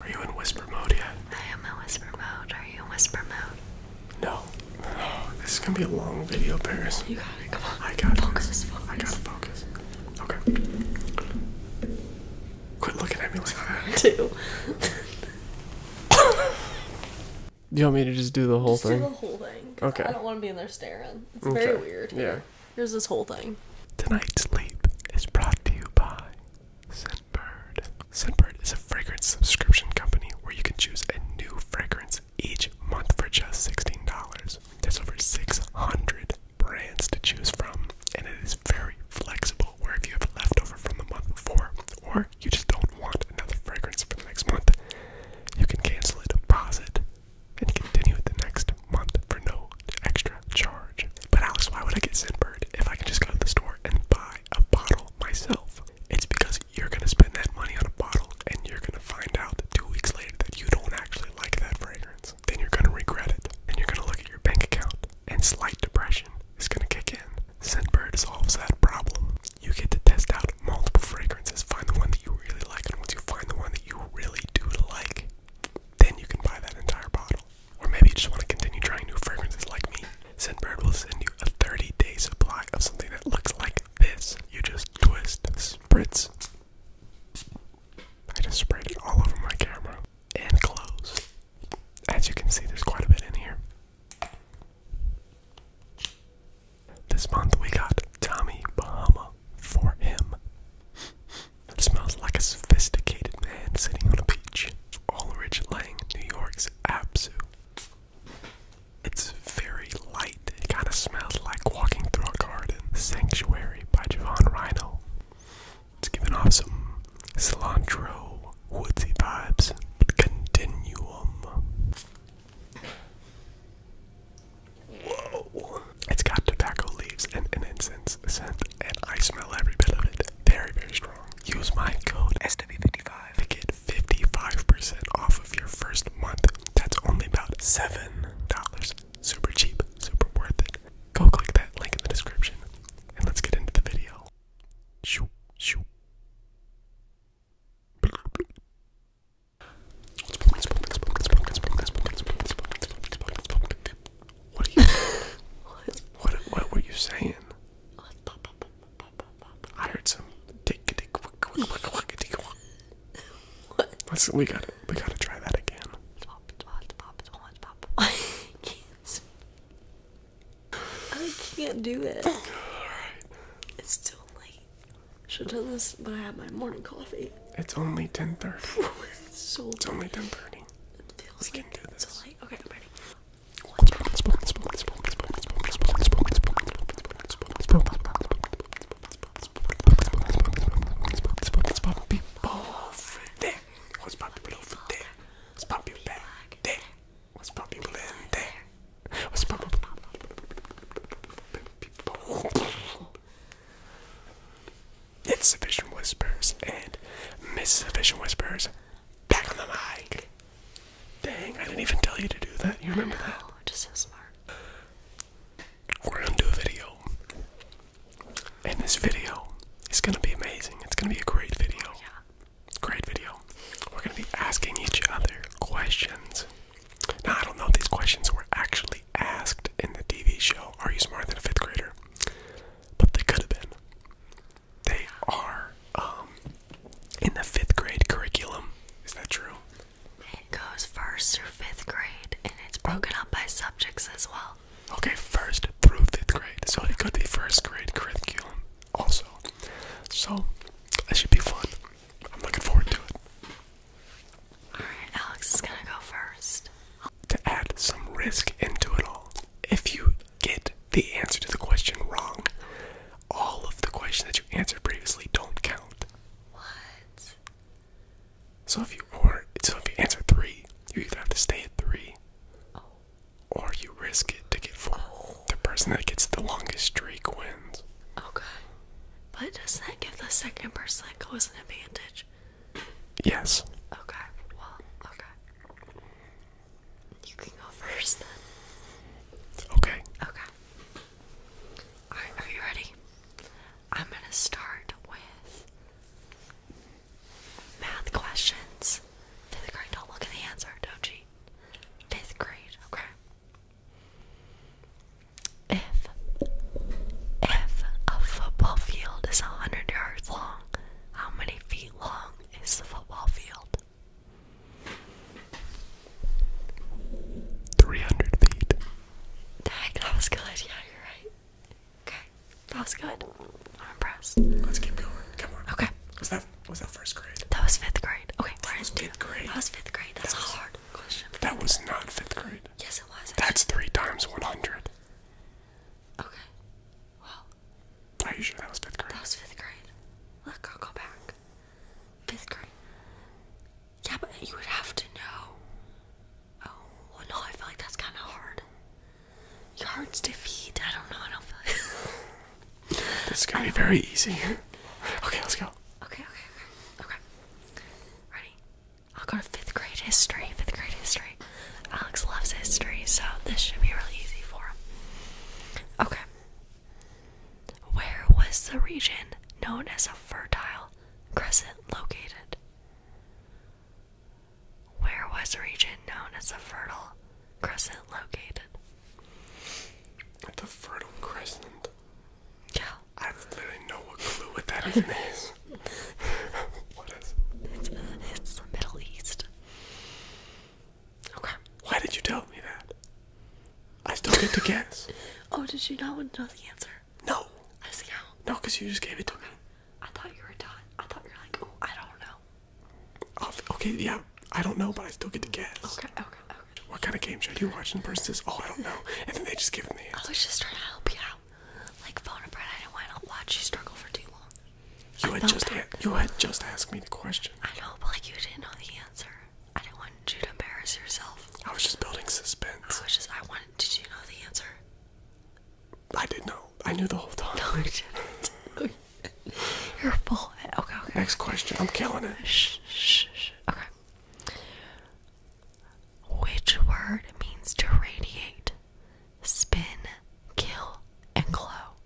Are you in whisper mode yet? I am in whisper mode. Are you in whisper mode? No. this is gonna be a long video, Paris. You got it. Come on. I got focus, Focus. I gotta focus. Okay. Quit looking at me like that. Two. you want me to just do the whole just thing? Do the whole thing. Okay. I don't want to be in there staring. It's very weird. Yeah. Here's this whole thing. Tonight's sleep is brought to you by Scentbird. Scentbird is a fragrance subscription company where you can choose a new fragrance each month for just $16. There's over 600 brands to choose from, and it is very flexible where if you have leftover from the month before or you just don't want another fragrance for the next month, you can cancel it, pause it, and continue it the next month for no extra charge. But Alice, why would I get Scentbird if I can just go to the store and buy a bottle myself? It's because you're gonna spend that money on a bottle and you're gonna find out two weeks later that you don't actually like that fragrance. Then you're gonna regret it. And you're gonna look at your bank account and slight depression is gonna kick in. Scentbird solves that problem. You get to test out multiple fragrances, find the one that you really like, and once you find the one that you really do like, then you can buy that entire bottle. Or maybe you just want to continue trying new fragrances like me. Scentbird will send you a 30 day supply of something that looks like this. You just twist, spritz. I just sprayed it all over my camera and clothes. As you can see, there's quite a bit in here. This month we got Tommy Bahama for him. It smells like a sophisticated man sitting on a beach. Olrich Lang, New York's Absu. It's very light. It kind of smells like walking through a garden. Sanctuary by Javon Rhino. It's giving off some cilantro woodsy vibes. Continuum. Whoa! It's got tobacco leaves and an incense cents scent, and I smell every bit of it. Very, very strong. Use my code SW55 to get 55% off of your first month. That's only about $7. Super cheap, super worth it. Go click that link in the description, and let's get into the video. Shoo, shoo. What are you? what? what? What were you saying? I heard some. What? Let's. We got. We got to try that again. I can't. I can't do it. All right. It's still late. Should have done this when I had my morning coffee. It's only ten thirty. it's so. It's only ten thirty. It feels we like can do this plate. Okay, i Whispers and Miss Sufficient Whispers Back on the mic. Dang, I didn't even tell you to do that. You remember that? know, that? Just so smart. We're gonna do a video. In this video it's gonna be amazing. It's gonna be a great video. yeah. Great video. We're gonna be asking each other questions. Now I don't know if these questions were actually asked in the TV show, Are You Smarter Than a Fifth Grader? But they could have been. They are um, in the fifth grade curriculum. Is that true? It goes first through fifth grade, and it's broken up by subjects as well. Okay, first through fifth grade. So it could be first grade curriculum also. So that should be fun. I'm looking forward to it. Alright, Alex is gonna go first to add some risk into it all. If you get the answer to the question wrong, all of the questions that you answered previously don't count. What? So if you or so if you answer three, you either have to stay at three, oh. or you risk it to get four. The oh. person that gets the longest streak wins. Okay, but doesn't that give the second person that goes an advantage? Yes. Okay. Well. Okay. You can go first Okay. Okay. Alright, are you ready? I'm gonna start with math questions. Fifth grade, don't look at the answer, don't cheat. Fifth grade, okay. If if a football field is hundred yards long, how many feet long is the football field? 300 feet. that was good. Yeah, you're right. Okay, that was good. I'm impressed. Let's keep going. Come on. Okay. Was that was that first grade? That was fifth grade. Okay, that was fifth grade. That was fifth grade. That's a hard question. That was not fifth grade. Yes, it was. That's three times 100. Okay. Well. Are you sure that was fifth grade? That was fifth grade. Look, I'll go back. Fifth grade. Yeah, but you would have to know. Oh, no, I feel like that's kind of hard. Yards to feet. I don't know. I don't feel this is gonna be very easy. okay, let's go. Okay, okay, okay, okay. Ready? I'll go to fifth grade history. Fifth grade history. Alex loves history, so this should be really easy for him. Okay. Where was the region known as a fertile crescent located? Where was the region known as a fertile crescent located? The fertile crescent. Yeah. I have no clue what that what is? Uh, it's the Middle East. Okay. Why did you tell me that? I still get to guess. oh, did you not want to know the answer? No. I see how. No, because you just gave it to me. I thought you were done. I thought you were like, I don't know. okay, yeah, I don't know, but I still get to guess. Okay, okay, okay. What kind of game show do you watching, And the person says, oh, I don't know. And then they just give me I was just trying to help you out. Like, phone a friend, I didn't want to watch you struggle for too long. You had just you had just asked me the question. I know, but like you didn't know the answer. I didn't want you to embarrass yourself. I was just building suspense. I was just I wanted. Did you know the answer? I did know. I knew the whole time. No, you didn't. You're full. Okay, okay. Next question. I'm killing it. Shh, shh, shh. Okay. Which word means to radiate? Spin, kill, and glow?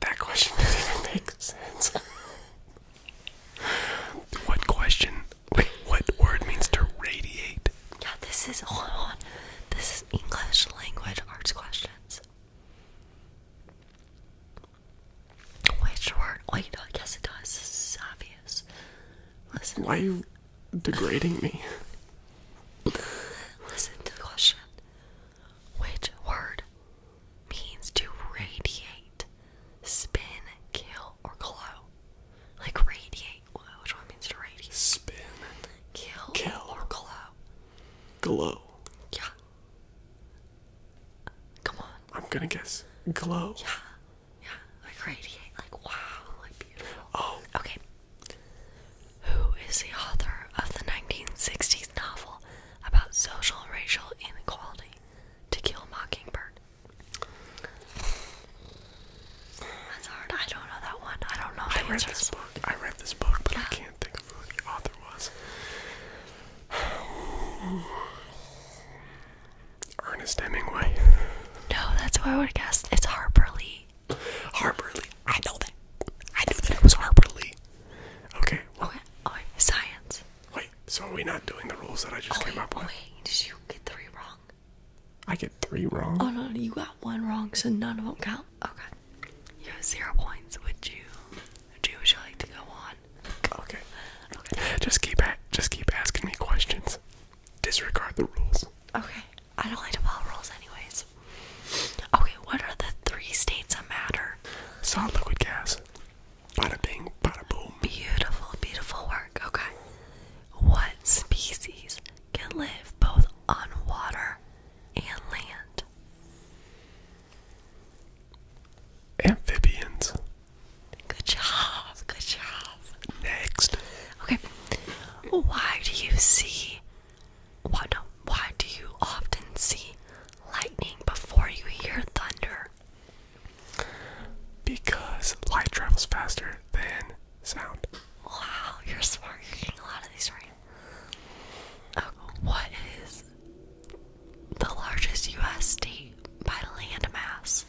That question doesn't even make sense. what question? Wait, what word means to radiate? Yeah, this is on. This is English language arts questions. Which word? Oh, you Wait, I guess it does. This is obvious. Listen. Why are you degrading me? Listen to the question which word means to radiate, spin, kill, or glow? Like radiate, which one means to radiate? Spin, kill, kill. or glow? Glow. Yeah. Come on. I'm gonna guess glow. Yeah. Yeah. Like radiate. Like wow. Like beautiful. Oh. Okay who is the author of the 1960s novel about social racial inequality, To Kill a Mockingbird. That's hard. I don't know that one. I don't know. I read this book. I read this book, but I can't think who the author was. Ernest Hemingway. No, that's what I would have guessed. It's Harper Lee. Harper Lee. I know that. I knew that it was Harper Lee. Okay. Oh, science. Wait. So are we not doing the rules that I just came oh, up with? Wait. Did you get three wrong? I get three wrong. Oh no, you got one wrong, so none of them count. Okay. You have zero points. Would you? Would you, would you like to go on? Okay. Okay. Just keep just keep asking me questions. Disregard the rules. Okay. I don't like to follow rules, anyways. Okay, what are the three states that matter? Solid liquid gas. Bada bing, bada boom. Beautiful, beautiful work. Okay. What species can live both on water and land? Amphibians. Good job, good job. Next. Okay. Why do you see why do why do you often see lightning before you hear thunder? Because light travels faster than sound. Wow, you're smart. You're getting a lot of these right. what is the largest U.S.D. by land mass?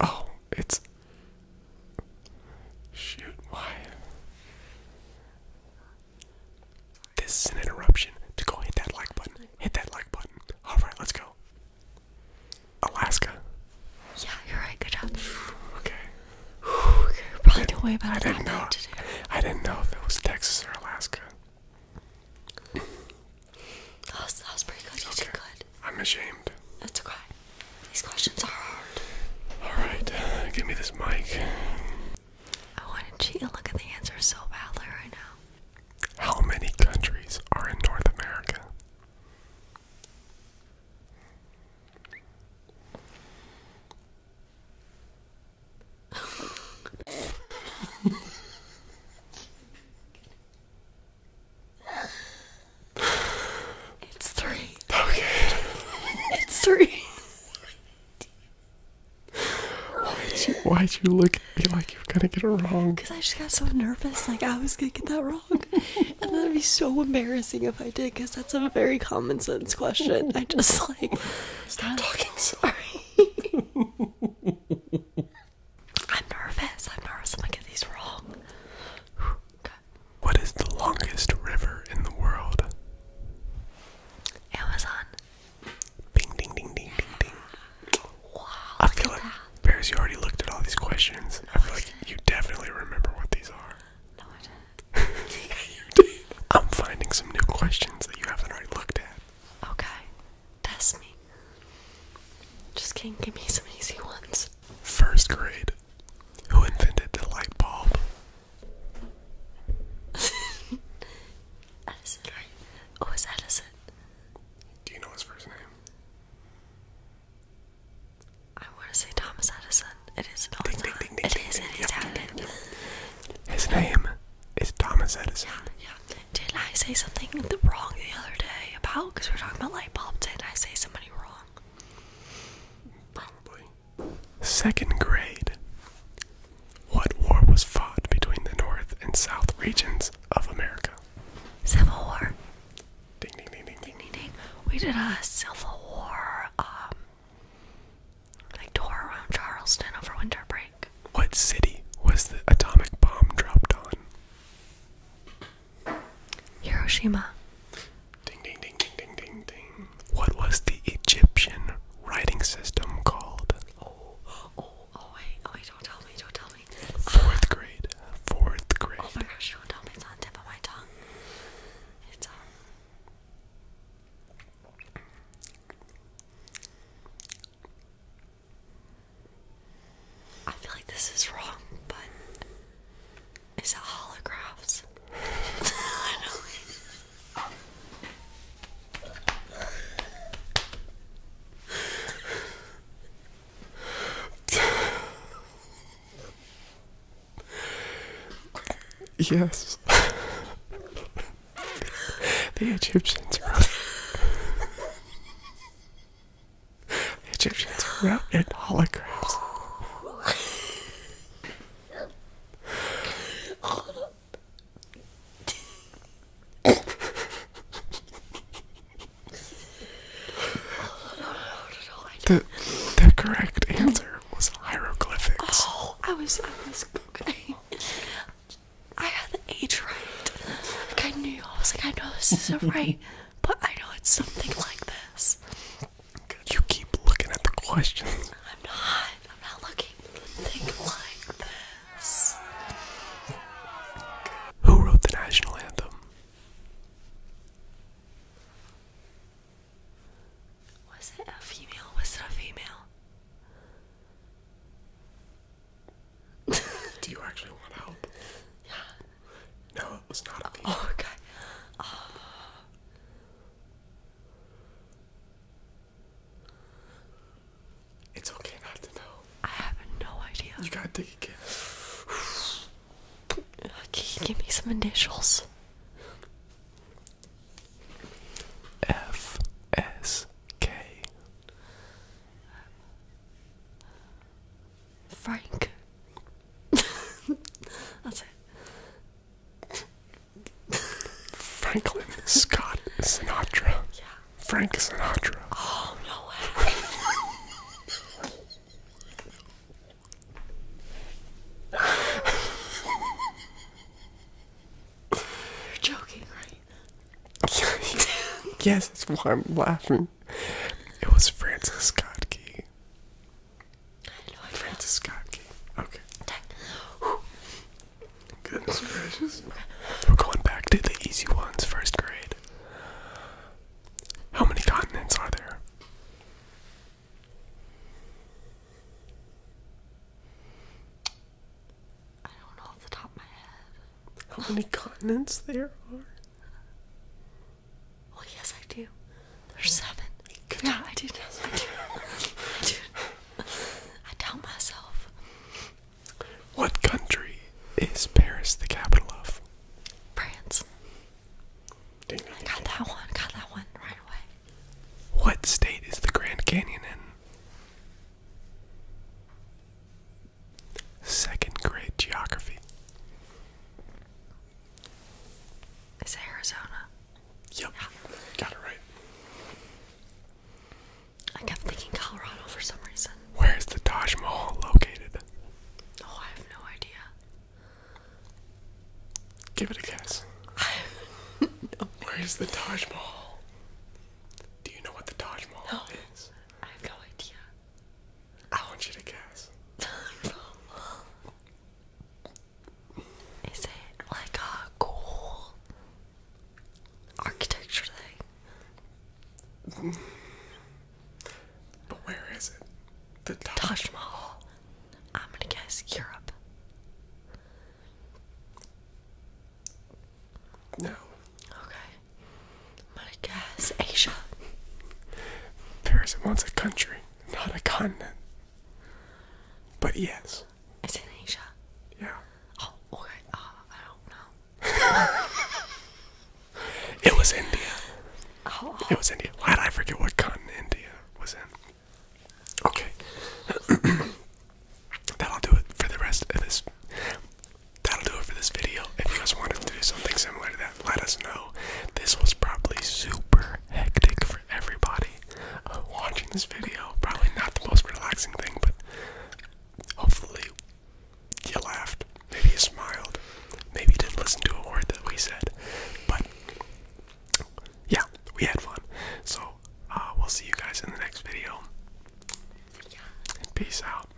Oh, it's Shoot, why? This is an interruption to go hit that like button. Hit that like button. Alright, let's go. Alaska. Yeah, you're right. Good job. Okay. I didn't know. I didn't know if it was Texas or Alaska. That was, pretty good. You did good. I'm ashamed. That's okay. These questions are hard. Alright, uh, give me this mic. I want to cheat and look at the answers so badly right now. How many countries are in North America? It's three. Okay. It's three. did you, look at like you're gonna get it wrong? Because I just got so nervous, like I was gonna get that wrong. and that'd be so embarrassing if I did, because that's a very common sense question. I just like. Stop talking, sorry. I'm nervous. I'm nervous. I'm gonna get these wrong. What is the longest river in the world? Amazon. Bing, ding, ding, ding, ding, ding. Wow. I feel like, Paris, you already looked at all these questions. I feel like you definitely remember what these are. No, I didn't. yeah, you did. I'm finding some new questions that you haven't already looked at. Okay. Test me. Just can give me some easy ones. First grade who invented the light bulb? Edison, Oh, it's Edison. Do you know his first name? I want to say Thomas Edison. It is not. Ding, ding, His name is Thomas Edison. Yeah, yeah. did I say something wrong the other day about? Because we are talking about light bulbs. did I say somebody wrong? Probably. Second grade. What war was fought between the North and South regions of America? Civil War. Ding ding ding ding ding ding We did a Civil War um like tour around Charleston over winter break. What city was the atomic bomb dropped on? Hiroshima. Ding ding ding ding ding ding ding. What was the Egyptian writing system called? Oh, oh, oh wait, oh wait, don't tell me, don't tell me. Fourth grade. Fourth grade. Oh my gosh, don't tell me it's on the tip of my tongue. It's um I feel like this is wrong, but is it holographs? Yes. the Egyptians wrote The Egyptians wrote in holograms. The, the correct answer was hieroglyphics. Oh, I was, I was okay. I had the age right. Like I knew, I was like, I know this isn't right, but I know it's something like this. You keep looking at the questions. I'm not. I'm not looking. Think like this. Who wrote the national anthem? Was it a female? Was it a female? Do you actually want help? Yeah. No, it was not a oh, female. Oh, okay. It's okay not to know. I have no idea. You gotta take a guess. Okay, give me some initials? F S K. Frank. That's it. Franklin Scott Sinatra. Yeah. Frank Sinatra. Oh, no way. You're joking, right? yes, that's why I'm laughing. It was Francis Scott Key. Lord Francis Okay. Goodness gracious. We're going back to the easy ones, first grade. How many continents are there? I don't know off the top of my head. How many continents there are? Well, yes, I do. There's seven. yeah, I do. I do. I do. I doubt myself. What country is Paris the capital of? France. got that one. got that one right away. What state is the Grand Canyon in? Second grade geography. Is Arizona? Yep. Got it right. I kept thinking Colorado for some reason. Where is the Taj Mahal located? Oh, I have no idea. Give it a guess. Where is the Taj Mahal? Do you know what the Taj Mahal is? I have no idea. I want you to guess. Is it like a cool architecture thing? But where is it? The Taj, Mahal. I'm gonna guess Europe. No. Okay. I'm gonna guess Asia. Paris isn't once a country, not a continent, but yes. It's in Asia. Yeah. Oh, okay. Uh, I don't know. it was India. Oh. It was India. Why did I forget what continent India was in? Okay. That'll do it for the rest of this. That'll do it for this video. If you guys wanted to do something similar to that, let us know. This was probably super hectic for everybody uh, watching this video. Probably not the most relaxing thing, but hopefully you laughed. Maybe you smiled. Maybe you didn't listen to a word that we said. But yeah, we had fun. So uh, we'll see you guys in the next video. peace out.